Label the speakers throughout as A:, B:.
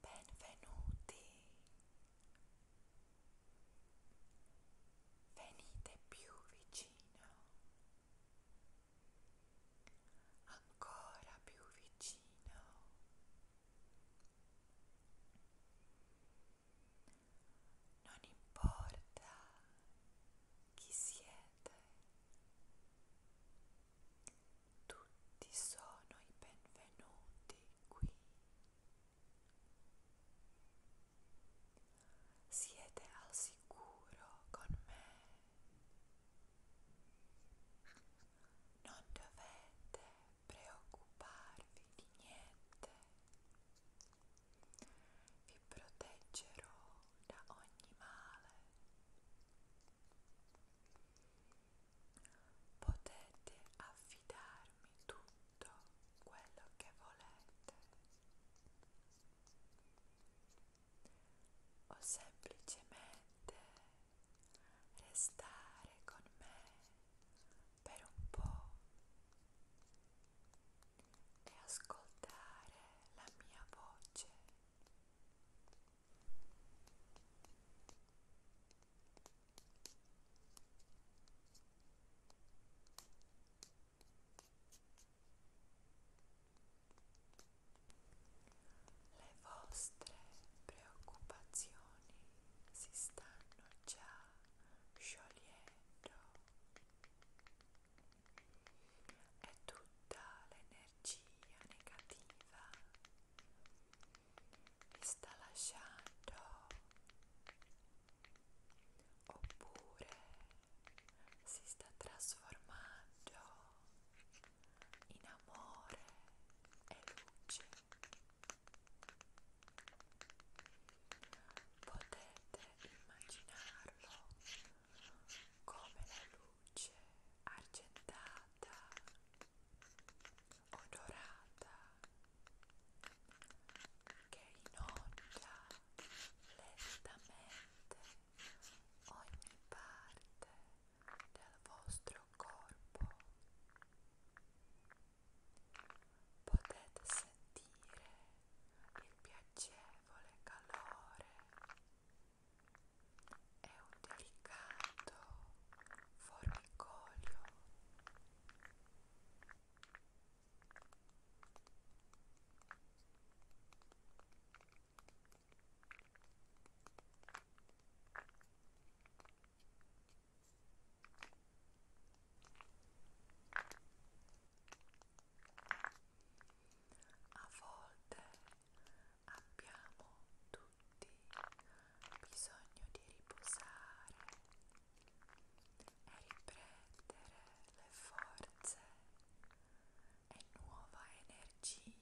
A: Benvenuti. Venite più vicino. Ancora più vicino. Non importa chi siete. Tutti sono i benvenuti qui. Siete al sicuro con me. Non dovete preoccuparvi di niente vi proteggerò da ogni male. Potete affidarmi tutto quello che volete. O semplicemente restare con me per un po' e ascoltare la mia voce. Le vostre preoccupazioni si stanno già sciogliendo dentro è tutta l'energia negativa che sta lasciando oppure si sta trasformando in amore e luce Potete immaginarlo come la luce argentata o dorata che inonda lentamente ogni parte del vostro corpo potete sentire il piacevole calore e un delicato formicolio a volte abbiamo tutti bisogno di riposare e riprendere le forze e nuova energia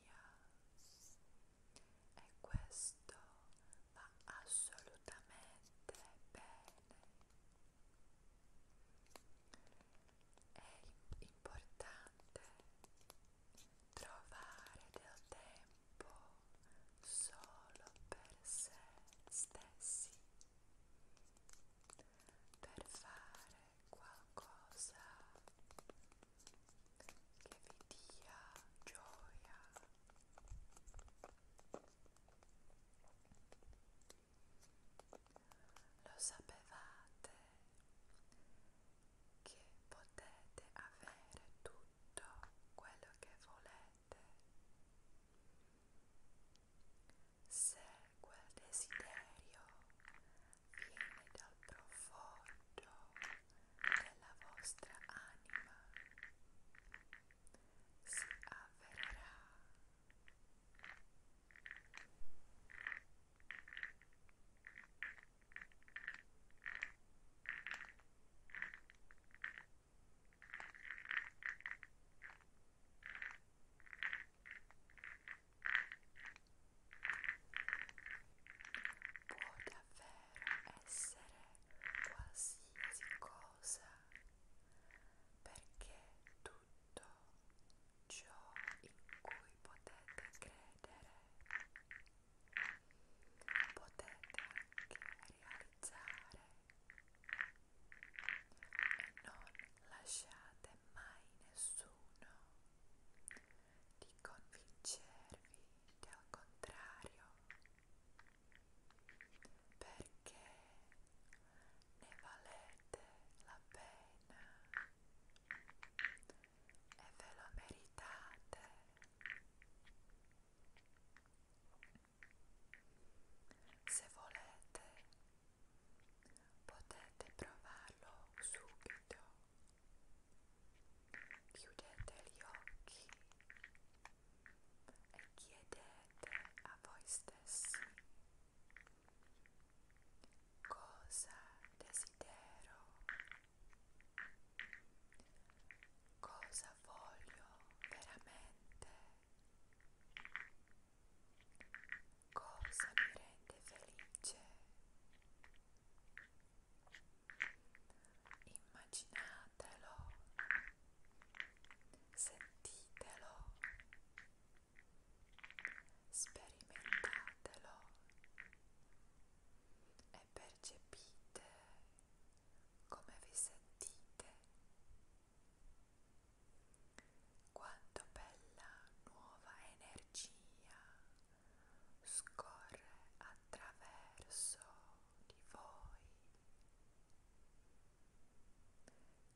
A: e questo va assolutamente bene. È importante trovare del tempo solo per se stessi, per fare qualcosa che vi dia gioia lo sapevate che potete avere tutto quello che volete se quel desiderio viene dal profondo della vostra anima si avvererà. Ora può davvero essere qualsiasi cosa perché tutto ciò in cui potete credere potete anche realizzare e non lasciate mai nessuno di convincervi del contrario perché ne valete la pena e ve lo meritate se volete potete provarlo subito. Chiudete gli occhi e chiedete a voi stessi cosa desidero, cosa voglio veramente. Cosa mi rende felice? Immaginatelo, sentitelo, sperimentatelo e percepite come vi sentite quanto bella nuova energia scorre attraverso di voi,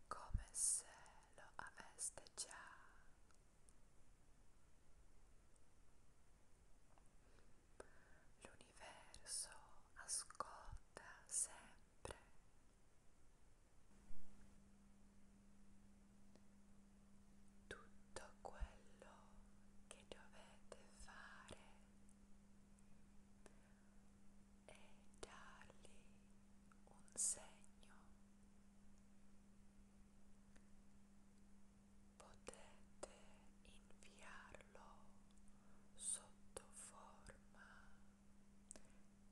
A: come se lo aveste già L'universo ascolta sempre tutto quello che dovete fare è dargli un segno potete inviarlo sotto forma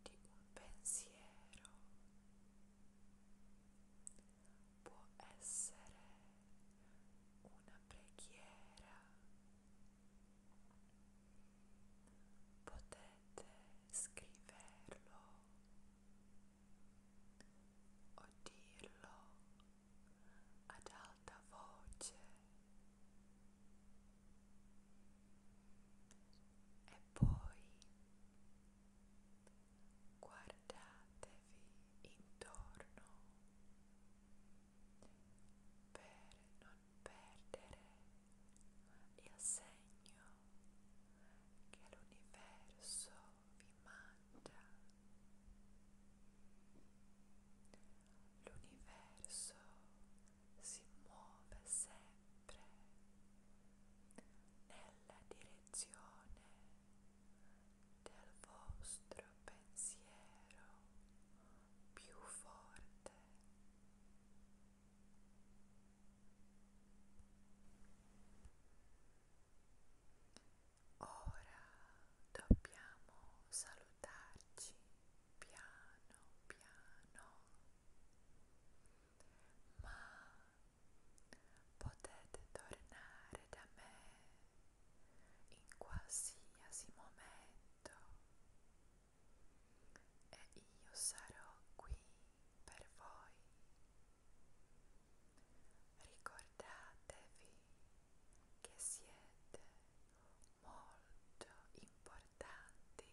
A: di un pensiero può essere una preghiera potete scriverlo o dirlo ad alta voce e poi guardatevi intorno per non perdere il segno che l'universo vi manda l'universo si muove sempre nella direzione del vostro pensiero più forte. Ora dobbiamo salutare guardarci piano piano, ma potete tornare da me in qualsiasi momento e io sarò qui per voi. Ricordate ricordatevi che siete molto importanti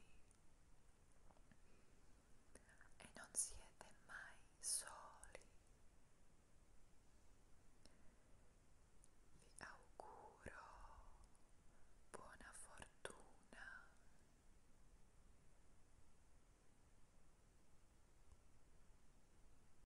A: e non siete mai soli. Vi auguro buona fortuna.